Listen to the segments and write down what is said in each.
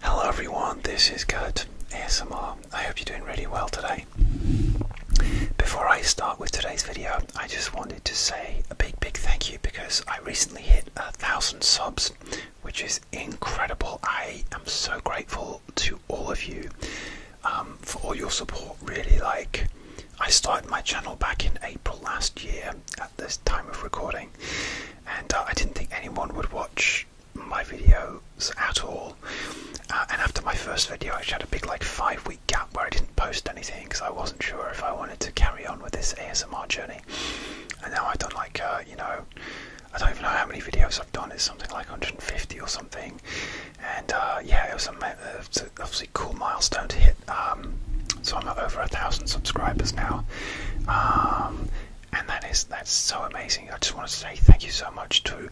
Hello everyone, this is Kurt ASMR. I hope you're doing really well today. Before I start with today's video, I just wanted to say a big, big thank you because I recently hit a thousand subs, which is incredible. I am so grateful to all of you um, for all your support. Really, like, I started my channel back in April last year at this time of recording, and uh, I didn't think anyone would watch my videos at all. Uh, and after my first video, I actually had a big, like, five week gap where I didn't post anything because I wasn't sure if I wanted to carry on with this ASMR journey. And now I've done, like, uh, you know, I don't even know how many videos I've done, it's something like 150 or something. And uh, yeah, it was, a, obviously cool milestone to hit. Um, so I'm over a thousand subscribers now. Um, and that is that's so amazing. I just want to say thank you so much to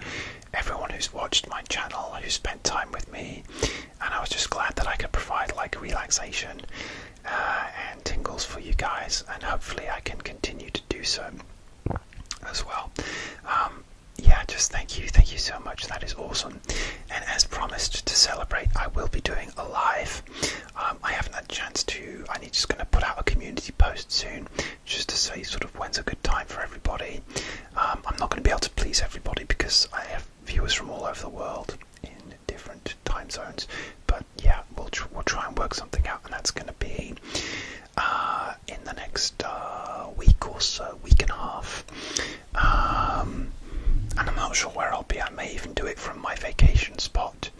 everyone who's watched my channel, who spent time with me, and I was just glad that I could provide like relaxation uh, and tingles for you guys, and hopefully I can continue to do so as well. Um, yeah, just thank you, thank you so much. That is awesome. And as promised to celebrate, I will be doing a live um, I haven't had a chance to. I'm just going to put out a community post soon, just to say sort of when's a good time for everybody. Um, I'm not going to be able to please everybody because I have viewers from all over the world in different time zones. But yeah, we'll we'll try and work something out, and that's going to be uh, in the next uh, week or so, week and a half. Um, and I'm not sure where I'll be. I may even do it from my vacation spot.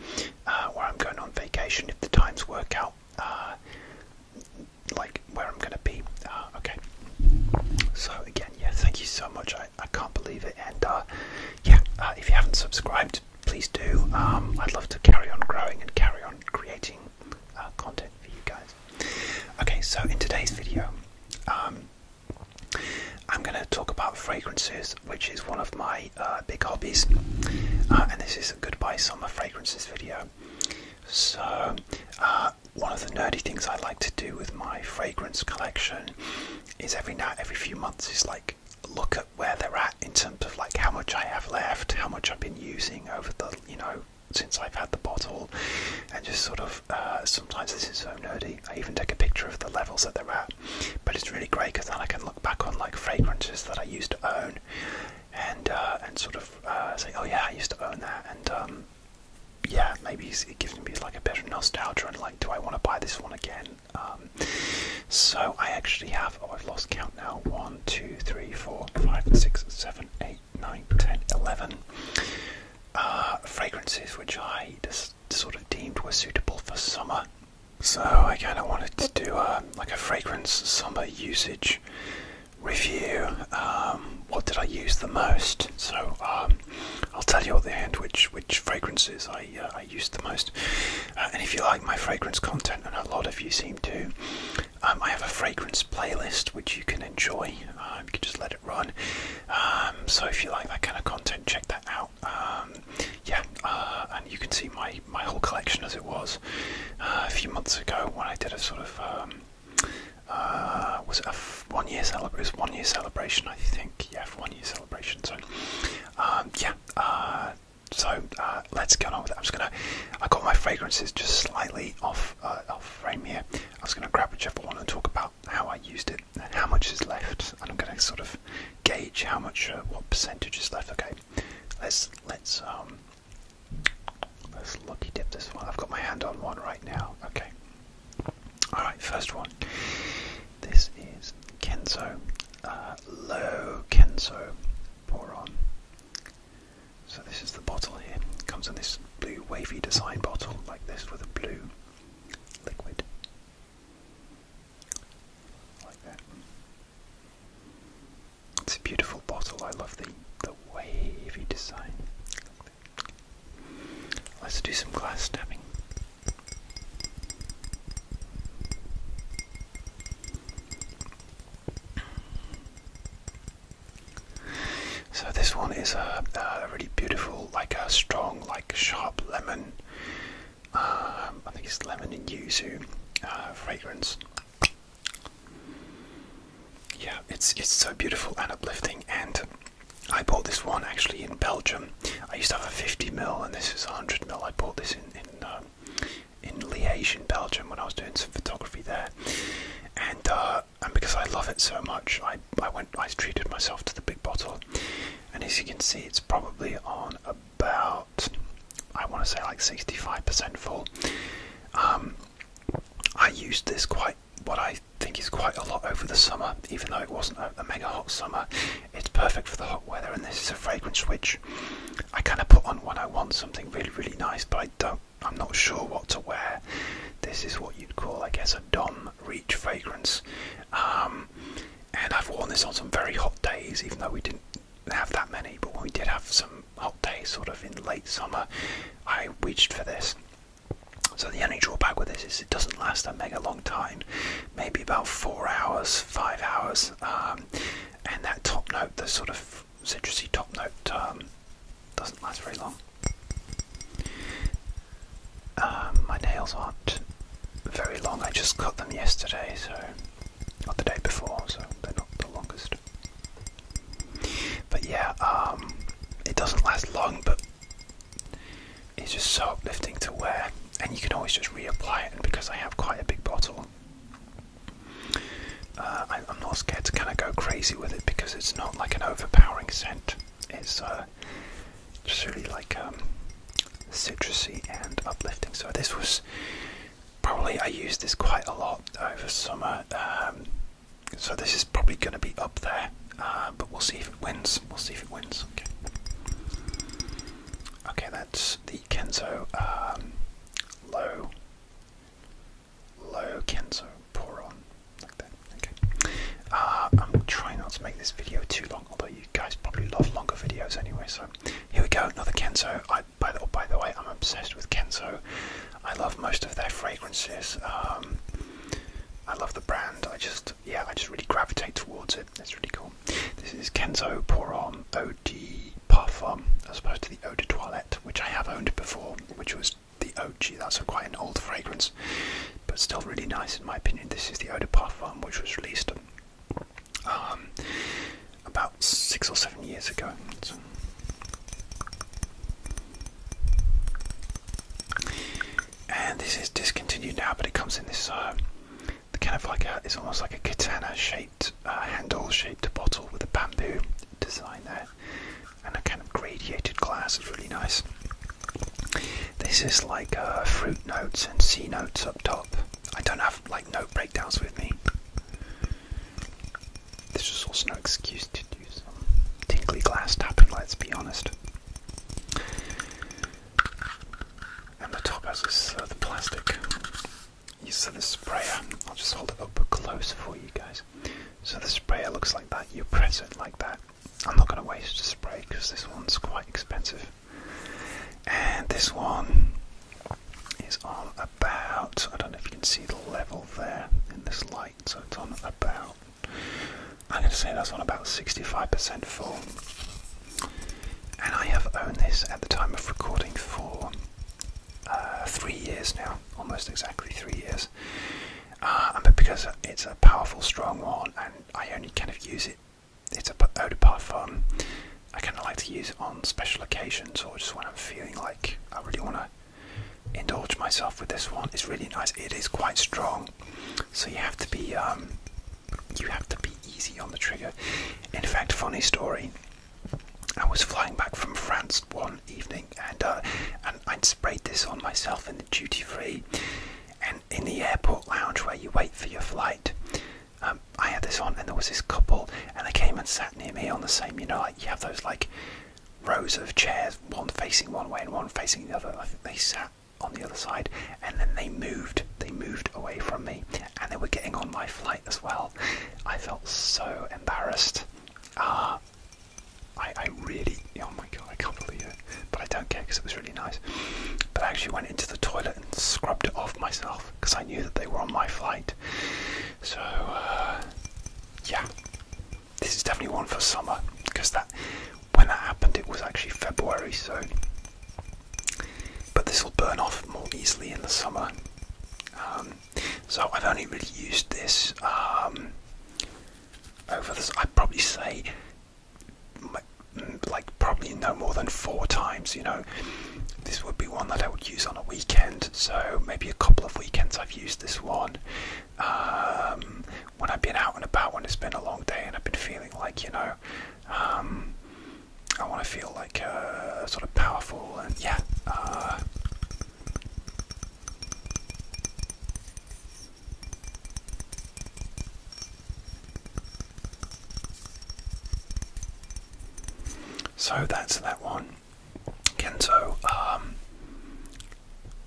Uh, where I'm going on vacation if the times work out, uh, like where I'm going to be. Uh, okay. So again, yeah, thank you so much. I, I can't believe it. And yeah, if you haven't subscribed, please do. Um, I'd love to carry on growing and carry on creating content for you guys. Okay, so in today's video. Um, I'm going to talk about fragrances, which is one of my uh, big hobbies, uh, and this is a goodbye summer fragrances video. So, uh, one of the nerdy things I like to do with my fragrance collection is every now every few months is like look at where they're at in terms of like how much I have left, how much I've been using over the you know since I've had the bottle, and just sort of sometimes this is so nerdy. I even take a picture of the levels that they're at but it's really great because then I can look back on like fragrances that I used to own, and uh, and sort of uh, say, oh yeah, I used to own that, and um, yeah, maybe it gives me like a bit of nostalgia and like, do I want to buy this one again? Um, so I actually have. Oh, I've lost count now. One, two, three, four, five, six, seven, eight, nine, ten, eleven. Uh, fragrances which I just sort of deemed were suitable for summer so I kind of wanted to do a, uh, like a fragrance summer usage review. Um, what did I use the most? So um, I'll tell you at the end which which fragrances I uh, I used the most. Uh, and if you like my fragrance content, and a lot of you seem to, um, I have a fragrance playlist which you can enjoy. you can just let it run. so if you like that kind of content, check that out. Um, yeah, uh, and you can see my my whole collection as it was uh, a few months ago when I did a sort of um, uh, was it one year celebration? One year celebration, I think. Yeah, one year celebration. So um, yeah. so let's get on with it. I'm just gonna. I got my fragrances just slightly off off frame here. I was gonna grab whichever one and talk about how I used it how much is left, and I'm gonna sort of gauge how much, uh, what percentage is left. Okay, let's let's um, let's lucky dip this one. I've got my hand on one right now. Okay, all right, first one. This is Kenzo, uh, low Pour on. So this is the bottle here. comes in this blue wavy design bottle like this with a blue liquid like that. It's a beautiful bottle. I love the the wavy design. Let's do some glass stabbing. So this one is a, a really beautiful, like a strong, like sharp lemon um, I think it's lemon and yuzu uh, fragrance. Yeah, it's it's so beautiful and uplifting. And I bought this one actually in Belgium. I used to have a 50 ml, and this is 100 ml. I bought this in in uh, in Liège, in Belgium, when I was doing some photography there. And uh, and because I love it so much, I I went I treated myself to the big bottle. And as you can see, it's probably on a about I want to say like 65% full. Um, I used this quite what I think is quite a lot over the summer, even though it wasn't a, mega hot summer. It's perfect for the hot weather, and this is a fragrance which I kind of put on when I want something really really nice, but I don't. I'm not sure what to wear. This is what you'd call, I guess, a Dom Reach fragrance. Um, and I've worn this on some very hot days, even though we didn't have that many. But when we did have some hot days, sort of in late summer, I wished for this. So the only drawback with this is it doesn't last a mega long time, maybe about four hours, five hours, um, and that top note, the sort of citrusy top note, um, doesn't last very long. Um, my nails aren't very long. I just cut them yesterday, so not the day before, so they're not the longest. But yeah, um, it doesn't last long, but it's just so uplifting to wear, and you can always just reapply it. And because I have quite a big bottle, uh, I, am not scared to kind of go crazy with it because it's not like an overpowering scent. It's uh, uh, just really like um, citrusy and uplifting. So this was probably I used this quite a lot over summer. Um, so this is probably going to be up there, uh, but we'll see if it wins. We'll see if it wins. Okay. Okay, that's the Kenzo um, low, low Kenzo pour on like that. Okay. Uh, I'm trying not to make this video too long although you guys probably love longer videos anyway. So here we go, another Kenzo. I, by, the, by the way, I'm obsessed with Kenzo. I love most of their fragrances. Um, I love the brand. I just, yeah, I just really gravitate towards it. It's really cool. This is Kenzo Pour Homme Eau de Parfum, as opposed to the Eau de Toilette, which I have owned before, which was the OG. That's quite an old fragrance, but still really nice in my opinion. This is the Eau de Parfum, which was released um, about six or seven years ago. and this is discontinued now, but it comes in this uh, the kind of like it's almost like a katana shaped, uh, handle shaped bottle with a bamboo design there, and a kind of gradiated glass. It's really nice. This is like uh, fruit notes and C notes up top. I don't have like note breakdowns with me. This is also no excuse to do some tinkly glass tapping, let's be honest. And the top has this uh, the plastic. You so the sprayer. I'll just hold it up close for you guys. So the sprayer looks like that. You press it like that. I'm not going to waste a spray because this one's quite expensive. And this one is on about, I don't know if you can see the level there in this light, so it's on about, I'm going to say that's on about 65% full. And I have owned this at the time of recording for uh, three years now, almost exactly three years. Uh, because it's a powerful, strong one, and I only kind of use it it's a eau de um, I kind of like to use it on special occasions or just when I'm feeling like I really want to indulge myself with this one. It's really nice. It is quite strong, so you have to be um, you have to be easy on the trigger. In fact, funny story. I was flying back from France one evening, and uh, and i sprayed this on myself in the duty free, and in the airport lounge where you wait for your flight. Um, I had this on, and there was this couple, and they came and sat near me on the same. You know, like you have those like rows of chairs, one facing one way and one facing the other. I think they sat on the other side, and then they moved. They moved away from me, and they were getting on my flight as well. I felt so embarrassed. Ah, I, I really. Oh my god, I can't believe it but I don't care because it was really nice. But I actually went into the toilet and scrubbed it off myself because I knew that they were on my flight. So, uh, yeah, this is definitely one for summer because that when that happened, it was actually February. So, but this will burn off more easily in the summer. Um, so I've only really used this um, over this. I'd probably say like probably no more than four times you know this would be one that i would use on a weekend so maybe a couple of weekends i've used this one um, when i've been out and about when it's been a long day and i've been feeling like you know um, i want to feel like uh, sort of powerful and yeah uh, so that's that one. Kento, um,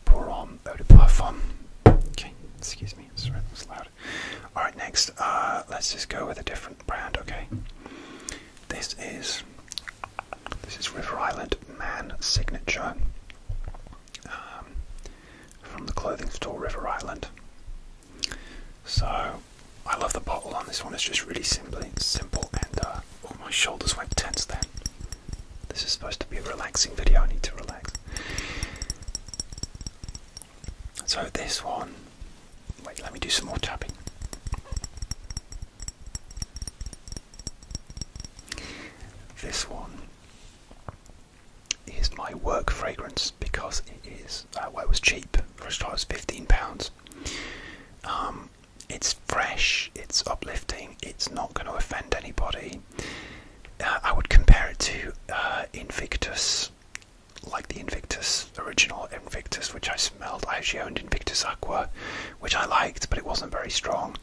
Porom, Odoparfum. Okay, excuse me, sorry, that was loud. Alright, next, uh, let's just go with a different brand, okay? This is, this is River Island Man Signature. Um, from the clothing store River Island. So I love the bottle on this one. It's just really simply simple and uh, oh, my shoulders went tense then. This is supposed to be a relaxing video. I need to relax. So this one. Wait, let me do some more tapping. This one is my work fragrance because it is uh, it was cheap first it was 15 pounds um, it's fresh it's uplifting it's not going to offend anybody uh, i would compare it to uh, invictus like the invictus original invictus which i smelled i actually owned invictus aqua which i liked but it wasn't very strong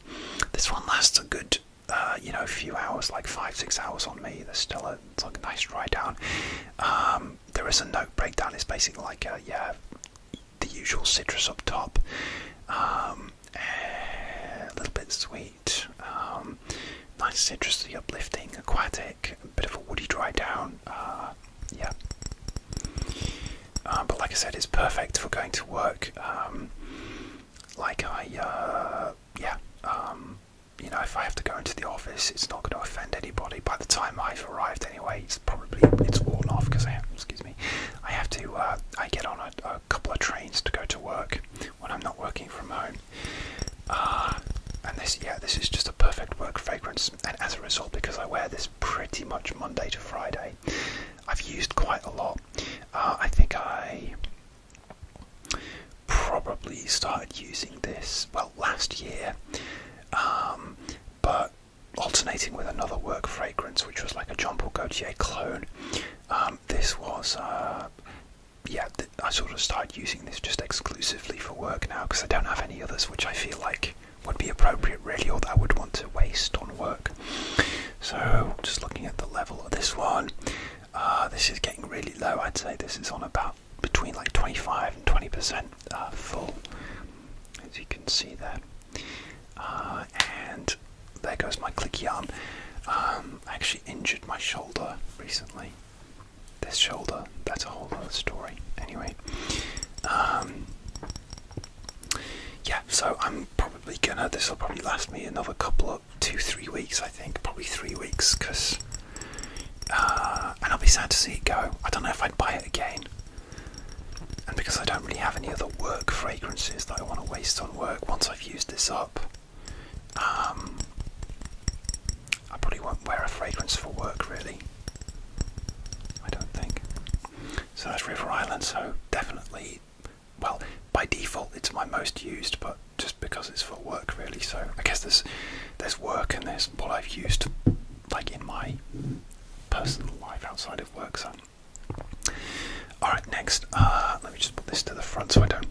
this one lasts a good uh, you know a few hours, like five six hours on me. There's still a, it's like a nice dry down. Um, there is a note breakdown. It's basically like a, uh, yeah, the usual citrus up top, um, a little bit sweet, um, nice citrusy, uplifting, aquatic, a bit of a woody dry down. Uh, yeah. but like I said, it's perfect for going to work. like I, yeah, you know, if I have to go into the office, it's not going to offend anybody. By the time I've arrived, anyway, it's probably it's worn off because I have, excuse me, I have to uh, I get on a, couple of trains to go to work when I'm not working from home. Uh, and this, yeah, this is just a perfect work fragrance. And as a result, because I wear this pretty much Monday to Friday, I've used quite a lot. Uh, I think I probably started using this well last year, um, but alternating with another work fragrance, which was like a Jean Paul Gaultier clone. Um, this was, uh, yeah, I sort of started using this just exclusively for work now because I don't have any others, which I feel like would be appropriate really, or that I would want to waste on work. So, just looking at the level of this one, uh, this is getting really low. I'd say this is on about between like 25 and 20 percent uh, full, as you can see there. Uh, and there goes my clicky arm. Um, I actually injured my shoulder recently. This shoulder, that's a whole other story. Anyway, um, yeah. So I'm probably gonna. This will probably last me another couple of two, three weeks, I think, probably three weeks, because. Uh, and I'll be sad to see it go. I don't know if I'd buy it again. And because I don't really have any other work fragrances that I want to waste on work once I've used this up, um, I probably won't wear a fragrance for work really. I don't think. So that's River Island, so definitely, well, by default it's my most used, but just because it's for work really. So I guess there's there's work and there's what I've used like in my personal life outside of work. So alright next uh, let me just put this to the front so I don't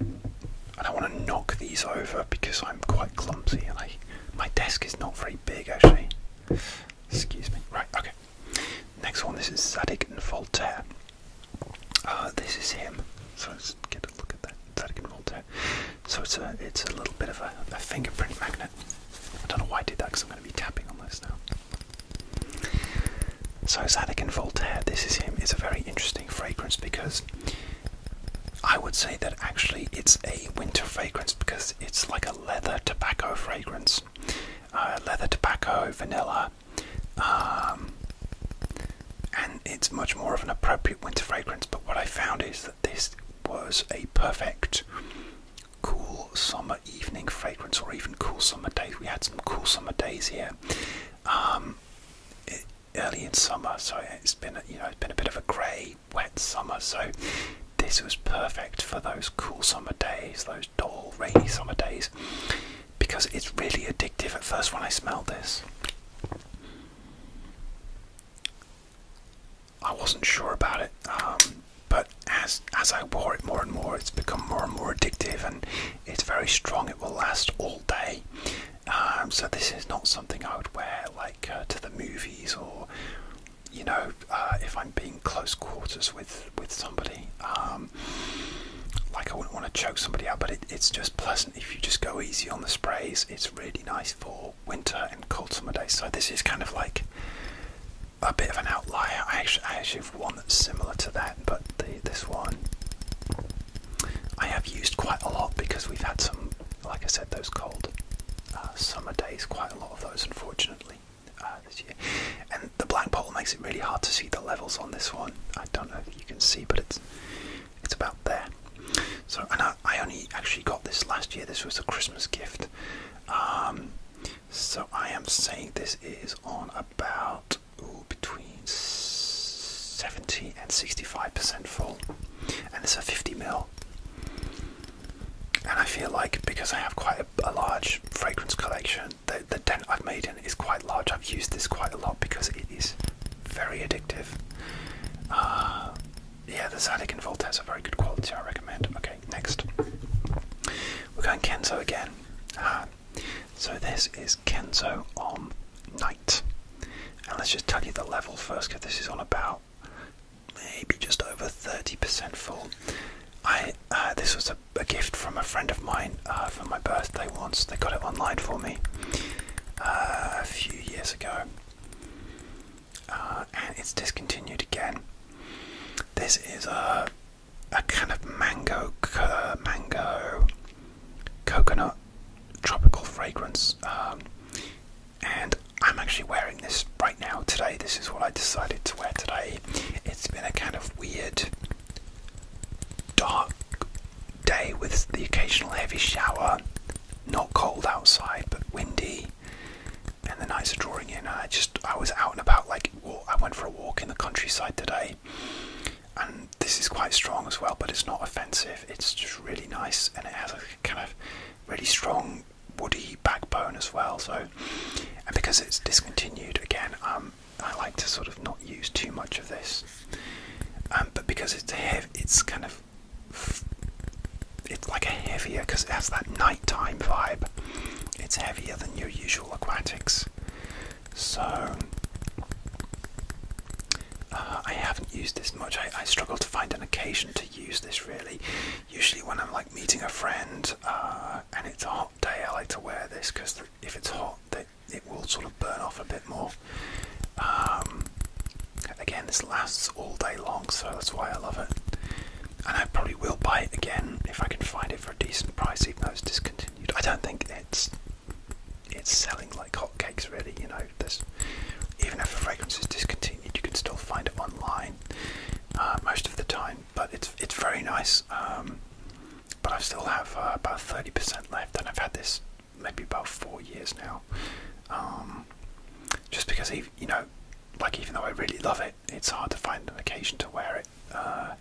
I don't want to knock these over because I'm quite clumsy and I my desk is not very big actually. Excuse me. Right, okay. Next one this is Zadig and Voltaire. Uh, this is him. So let's get a look at that. That I can So it's a it's a little bit of a, fingerprint magnet. I don't know why I did that because I'm going to be tapping on this now. So it's and Voltaire. This is him. It's a very interesting fragrance because I would say that actually it's a winter fragrance because it's like a leather tobacco fragrance. Uh, leather tobacco, vanilla, um, and it's much more of an appropriate winter fragrance. But what I found is that this was a perfect cool summer evening fragrance, or even cool summer days. We had some cool summer days here um, early in summer, so it's been you know it's been a bit of a grey, wet summer. So this was perfect for those cool summer days, those dull, rainy summer days because it's really addictive at first when I smelled this. I wasn't sure about it, um, but as as I wore it more and more, it's become more and more addictive, and it's very strong. It will last all day. Um, so this is not something I would wear like uh, to the movies or, you know, uh, if I'm being close quarters with with somebody. Um, um, like I wouldn't want to choke somebody out, but it's just pleasant if you just go easy on the sprays. It's really nice for winter and cold summer days. So this is kind of like a bit of an outlier. I actually, have one that's similar to that, but this one I have used quite a lot because we've had some, like I said, those cold uh, summer days. Quite a lot of those, unfortunately. Uh, this year, and the black pole makes it really hard to see the levels on this one. I don't know if you can see, but it's it's about there. So, and I, only actually got this last year. This was a Christmas gift. Um, so I am saying this is on about between 70 and 65% full, and it's a 50 mil. And I feel like because I have quite a, large fragrance collection, that the, dent I've made in it is quite large. I've used this quite a lot because it is very addictive. Uh, yeah, the Zydeco and has a very good quality, I recommend. Okay, next. We're going Kenzo again. Ah, so this is Kenzo on Night. And let's just tell you the level first because this is on about maybe just over 30% full. I uh, This was a, gift from a friend of mine. Uh, uh, for my birthday once. They got it online for me uh, a few years ago. Uh, and it's discontinued again. This is a a kind of mango, mango, coconut, tropical fragrance, um, and I'm actually wearing this right now today. This is what I decided to wear today. It's been a kind of weird dark day with the occasional heavy shower. Not cold outside, but windy, and the nights are drawing in. I just I was out and about. Like I went for a walk in the countryside today, and this is quite strong as well, but it's not offensive. It's just really nice, and it has a kind of really strong woody backbone as well. So, and because it's discontinued again, um, I like to sort of not use too much of this, um, but because it's it's kind of it's like a heavier because it has that nighttime vibe. It's heavier than your usual aquatics, so uh, I haven't used this much. I, struggle to find an occasion to use this really. Usually when I'm like meeting a friend uh, and it's a hot day, I like to wear this because if it's hot, it, will sort of burn off a bit more. Um, again, this lasts all day long, so that's why I love it. And I probably will buy it again if I can find it for a decent price, even though it's discontinued. I don't think it's it's selling like hotcakes, really. You know, there's even if a fragrance is discontinued, you can still find it online uh, most of the time. But it's it's very nice. Um, but I still have uh, about 30% left, and I've had this maybe about four years now. Um, just because, you know, like even though I really love it, it's hard to find an occasion to wear it. Uh,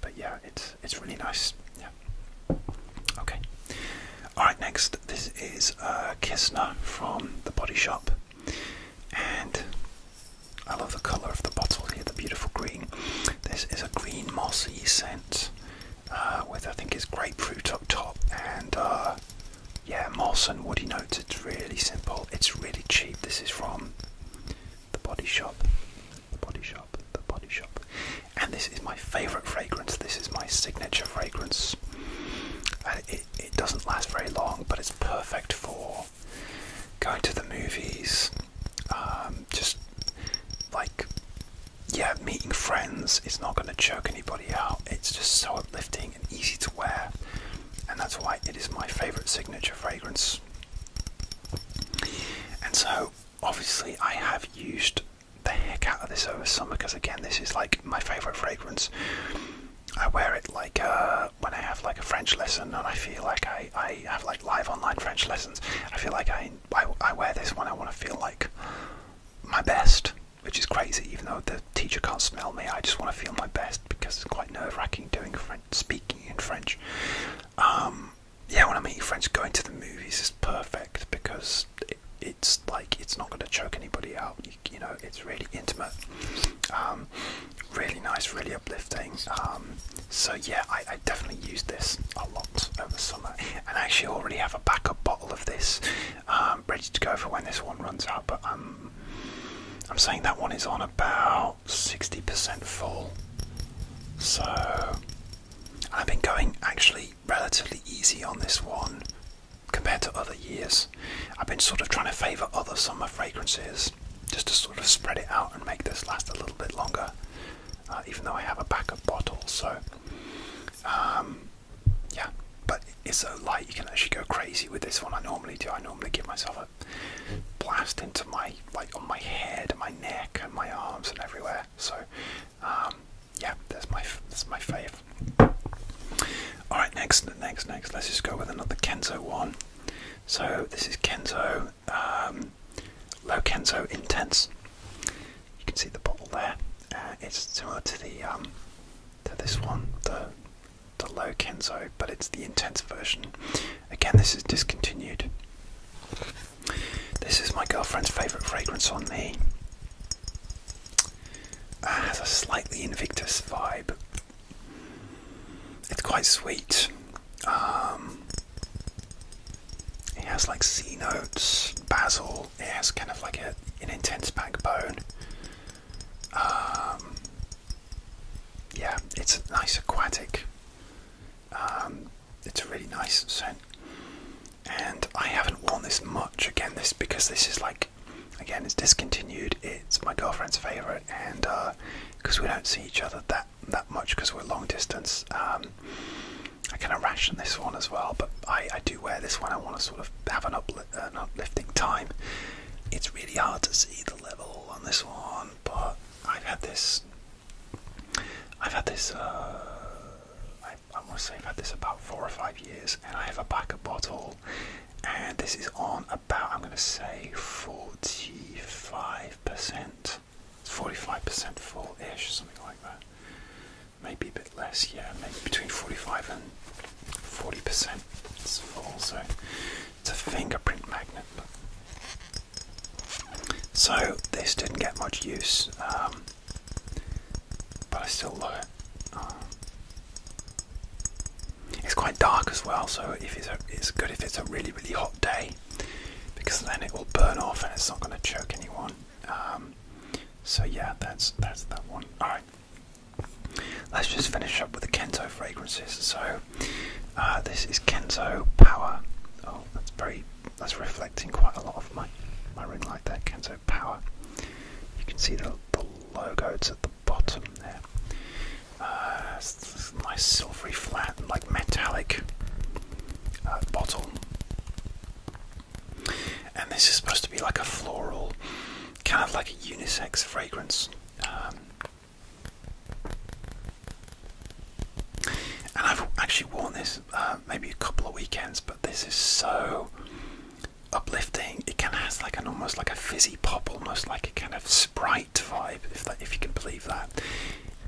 but yeah, it's it's really nice. Yeah. Okay. All right. Next, this is uh, Kistner from the Body Shop, and I love the color of the bottle here, the beautiful green. This is a green mossy scent. Uh, with I think it's grapefruit up top and uh, yeah, moss and woody notes. It's really simple. It's really cheap. This is from the Body Shop. The Body Shop. The Body Shop. And this is my favourite fragrance. This is my signature fragrance. it, it doesn't last very long, but it's perfect for going to the movies. Um, just like yeah, meeting friends is not going to choke anybody out. It's just so uplifting and easy to wear, and that's why it is my favorite signature fragrance. And so, obviously, I have used the heck out of this over summer because, again, this is like my favorite fragrance. I wear it like uh, when I have like a French lesson and I feel like I, I have like live online French lessons. I feel like I I, wear this one. I want to feel like my best, which is crazy. Even though the teacher can't smell me, I just want to feel my best because it's quite nerve racking doing French, speaking in French. Um, yeah, when I'm eating French, going to the movies is perfect because it's like it's not going to choke anybody out. You, know, it's really intimate, um, really nice, really uplifting. Um, so yeah, I I definitely used this a lot over summer, and I actually already have a backup bottle of this um, ready to go for when this one runs out. But I'm, um, I'm saying that one is on about 60% full, so I've been going actually relatively easy on this one compared to other years. I've been sort of trying to favour other summer fragrances just to sort of spread it out and make this last a little bit longer. Uh, even though I have a pack of bottles, So, um, yeah, but it's so light you can actually go crazy with this one. I normally do. I normally give myself a blast into my like on my head, and my neck, and my arms, and everywhere. So, um, yeah, that's my that's my fave. All right, next, next, next. Let's just go with another Kenzo one. So this is Kenzo um, Lokenzo Intense. You can see the bottle there. Uh, it's similar to the um, to this one, the the Lokenzo, but it's the Intense version. Again, this is discontinued. This is my girlfriend's favourite fragrance on me. Uh, has a slightly Invictus vibe. It's quite sweet. Um, it has like sea notes, basil. It has kind of like an intense backbone. Um, yeah, it's a nice aquatic. Um, it's a really nice scent, and I haven't worn this much again. This because this is like, again, it's discontinued. It's my girlfriend's favorite, and because uh, we don't see each other that that much because we're long distance. Um, I kind ration this one as well, but I, I do wear this one. I want to sort of have an, upli an uplifting time. It's really hard to see the level on this one, but I've had this. I've had this. Uh, I, I want to say I've had this about four or five years, and I have a backup bottle, and this is on about I'm going to say forty-five percent it's 45% full ish, something like that. Maybe a bit less, yeah, maybe between 45 and 40% it's full, so it's a fingerprint magnet. So this didn't get much use, um, but I still love it. it's quite dark as well, so if it's, it's good if it's a really really hot day because then it will burn off and it's not going to choke anyone. Um, so yeah, that's that's that one. All right. Let's just finish up with the Kento fragrances. So uh, this is Kento Power. Oh, that's very that's reflecting quite a lot of my my ring like that. Kento Power. You can see the logo. It's at the bottom there. Uh, nice silvery flat, like metallic uh, bottle. And this is supposed to be like a floral, kind of like a unisex fragrance. Um, and I've actually worn this uh, maybe a couple of weekends, but this is so uplifting. It kind of has like an almost like a fizzy pop, almost like a kind of sprite vibe, if if you can believe that.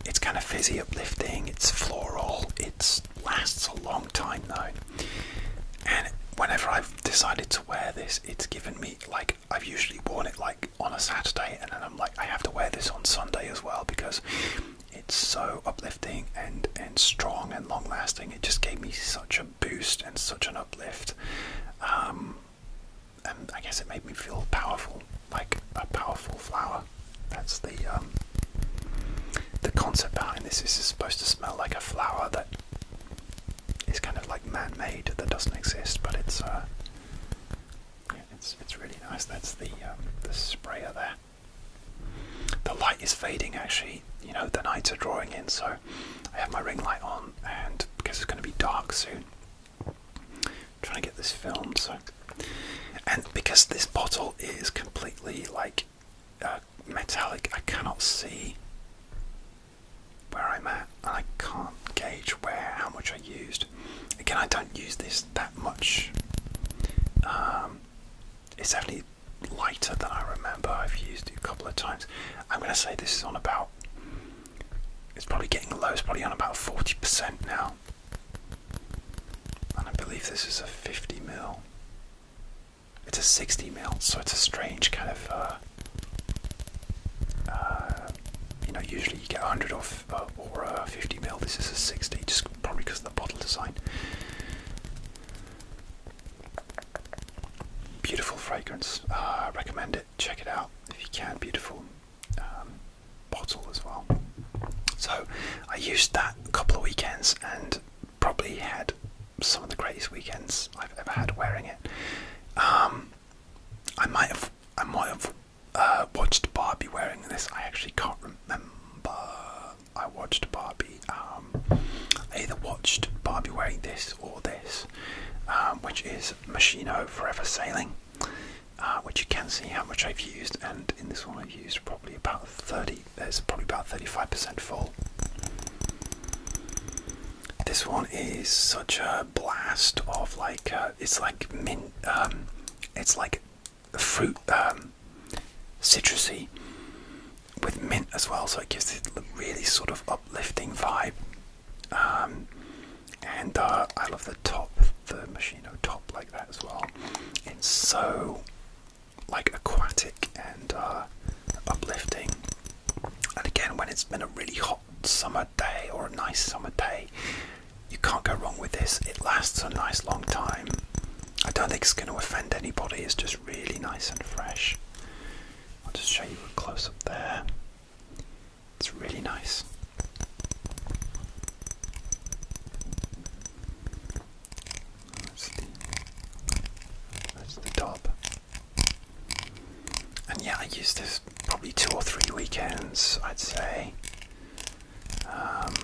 It's kind of fizzy, uplifting, it's floral, it lasts a long time though. And whenever I've decided to wear this, it's given me like I've usually worn it like on a Saturday, and then I'm like, I have to wear this on Sunday as well because it's so uplifting and and strong and long lasting. It just gave me such a boost and such an uplift. Um, and I guess it made me feel powerful like a powerful flower. That's the um, the concept behind this. This is supposed to smell like a flower that is kind of like man-made that doesn't exist, but it's uh, it's it's really nice. That's the um, the sprayer there. The light is fading actually. You know the nights are drawing in, so I have my ring light on, and because it's going to be dark soon, trying to get this filmed. So, and because this bottle is completely like uh, metallic, I cannot see where I'm at, and I can't gauge where how much I used. Again, I don't use this that much. Um, it's definitely lighter than I remember. I've used it a couple of times. I'm going to say this is on about. It's probably getting low. It's probably on about forty percent now. I believe this is a 50 mil. It's a 60 mil, so it's a strange kind of. Uh, uh, you know, usually you get 100 uh, or, or uh, 50 mil. This is a 60, just probably because of the bottle design. Beautiful fragrance. I recommend it. Check it out if you can. Beautiful um, bottle as well. So I used that a couple of weekends and probably had some of the greatest weekends I've ever had wearing it. Um, I might have, I might have uh, watched Barbie wearing this. I actually can't remember. I watched Barbie. Um, either watched Barbie wearing this or this, which is Machino Forever Sailing. Uh, which you can see how much I've used, and in this one I've used probably about 30, there's probably about 35% full. This one is such a blast of like, uh, it's like mint, um, it's like fruit, um, citrusy with mint as well, so it gives it a really sort of uplifting vibe. Um, and uh, I love the top, the Machino top like that as well. It's so like aquatic and uh, uplifting. And again, when it's been a really hot summer day or a nice summer day, you can't go wrong with this. It lasts a nice long time. I don't think it's going to offend anybody. It's just really nice and fresh. I'll just show you a close up there. It's really nice. That's the, top. And yeah, I used this probably two or three weekends, I'd say. Um,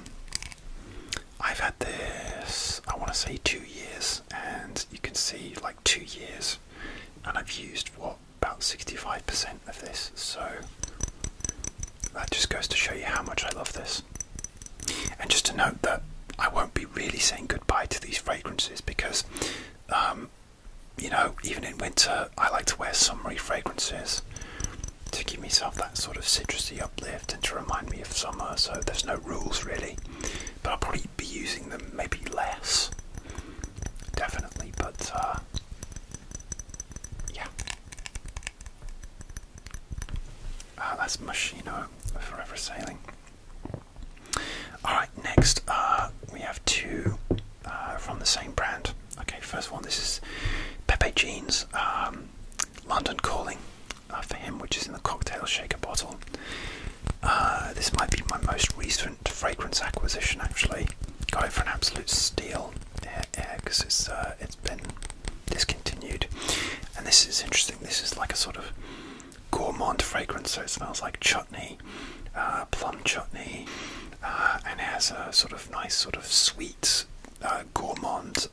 I've had this, I want to say two years, and you can see like two years, and I've used what about 65% of this, so that just goes to show you how much I love this. And just to note that I won't be really saying goodbye to these fragrances because, um, you know, even in winter, I like to wear summery fragrances to give myself that sort of citrusy uplift and to remind me of summer, so there's no rules really. But I'll probably be using them maybe less, definitely, but. Uh, yeah. Uh, that's Machino Forever Sailing. Alright, next uh, we have two uh, from the same brand. Okay, first one this is Pepe Jeans um, London Calling uh, for him, which is in the cocktail shaker bottle. Uh, this might be my most recent fragrance acquisition actually got it for an absolute steal because it's uh, it's been discontinued. And this is interesting. This is like a sort of gourmand fragrance, so it smells like chutney, uh, plum chutney, uh, and has a sort of nice, sort of sweet uh, gourmand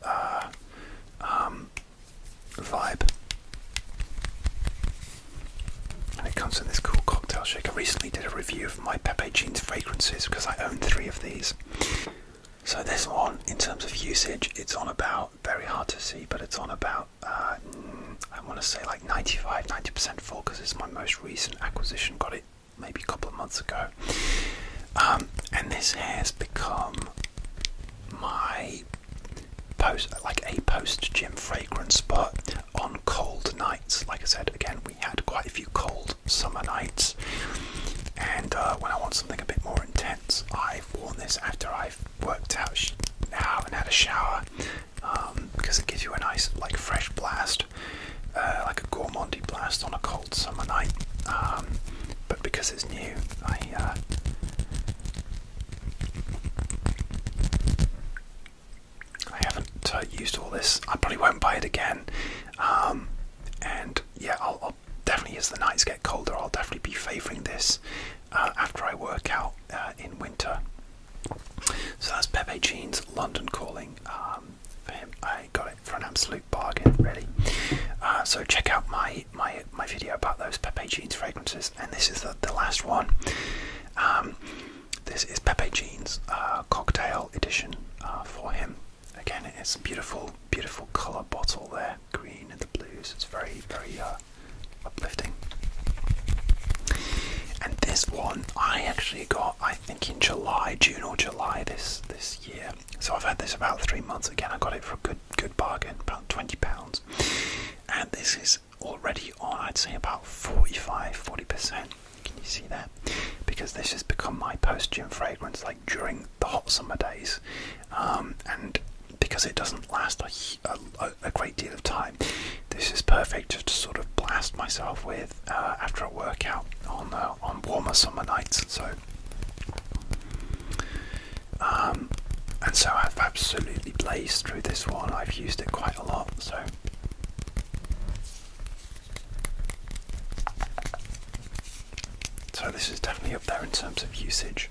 um, vibe. And it comes in this cool cocktail shaker. I recently did a review my Pepe Jeans fragrances because I own three of these. So this one, in terms of usage, it's on about, very hard to see, but it's on about, uh, I want to say like 95, 90% full because it's my most recent acquisition, got it maybe a couple of months ago. Um, and this has become my post, like a post gym fragrance, but on cold nights, like I said, again, we had quite a few cold summer nights. And uh, when I want something a bit more intense, I've worn this after I've worked out now and had a shower because um, it gives you a nice, like, fresh blast, uh, like a gourmandy blast on a cold summer night. Um, but because it's new, I. Uh, I haven't uh, used all this. I probably won't buy it again. Um, and yeah, I'll, definitely, as the nights get colder, I'll definitely be favouring this uh, after I work out uh, in winter. So that's Pepe Jean's London Calling um, for him. I got it for an absolute bargain, really. so check out my, my my video about those Pepe Jean's fragrances, and this is the, last one. Um, this is Pepe Jean's uh, cocktail edition uh, for him. Again, it's a beautiful, beautiful colour bottle there, green and the blues. It's very, very uh, uplifting. And this one I actually got, I think, in July, June or July this this year. So I've had this about three months. Again, I got it for a good good bargain, about twenty pounds. And this is already on, I'd say, about 45, 40 percent can you see that? Because this has become my post gym fragrance like during the hot summer days. Um, and because it doesn't last a, great deal of time, this is perfect just to sort of blast myself with uh, after a workout on, uh, on warmer summer nights. So. Um, and so I've absolutely blazed through this one. I've used it quite a lot, so so this is definitely up there in terms of usage.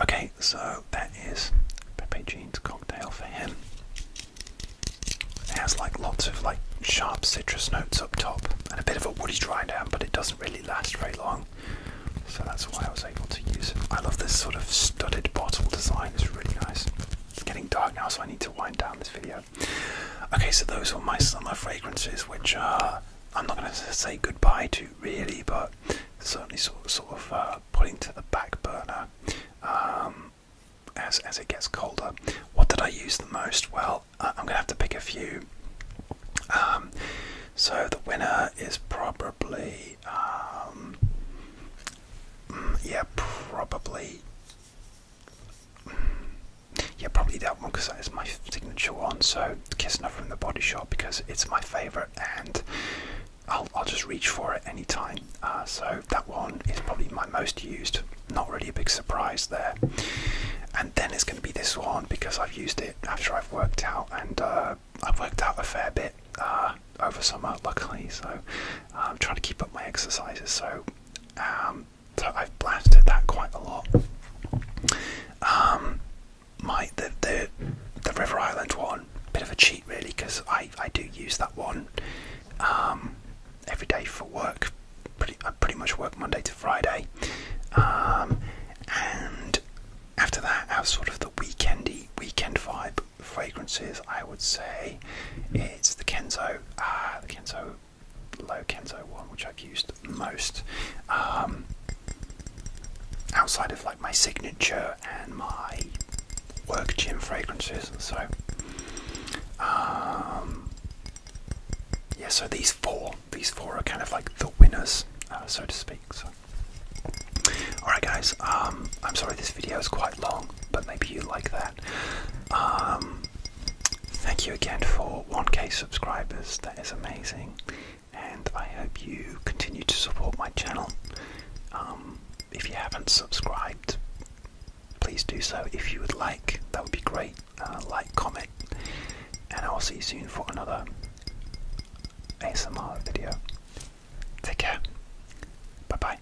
Okay, so that is Pepe Jean's cocktail for him. It has like lots of like sharp citrus notes up top and a bit of a woody dry down, but it doesn't really last very long. So that's why I was able to use it. I love this sort of studded bottle design, it's really nice. It's getting dark now, so I need to wind down this video. Okay, so those were my summer fragrances, which I'm not going to say goodbye to really, but certainly sort, sort of uh, putting to the back burner um, as, as it gets colder. What did I use the most? Well, I'm going to have to pick a few. Um, so the winner is probably, um, mm, yeah, probably yeah, probably that one because that is my signature one. So, Kissner from the Body Shop because it's my favorite and I'll, just reach for it anytime. Uh, so, that one is probably my most used. Not really a big surprise there. And then it's going to be this one because I've used it after I've worked out and uh, I've worked out a fair bit uh, over summer, luckily. So, I'm um, trying to keep up my exercises. So, um, I've blasted that quite a lot. Um, my the the River Island one, bit of a cheat really, because I I do use that one um, every day for work. Pretty I pretty much work Monday to Friday, um, and after that, have sort of the weekendy weekend vibe fragrances. I would say it's the Kenzo. Uh, Kenzo low Kenzo one, which I've used most. Um, outside of like my signature and my work gym fragrances so um, yeah so these four these four are kind of like the winners uh, so to speak all right guys um, I'm sorry this video is quite long but maybe you like that. Um, thank you again for 1k subscribers, that is amazing. And I hope you continue to support my channel. Um, if you haven't subscribed, please do so. If you would like, that would be great. Uh, like, comment, and I'll see you soon for another ASMR video. Take care. Bye bye.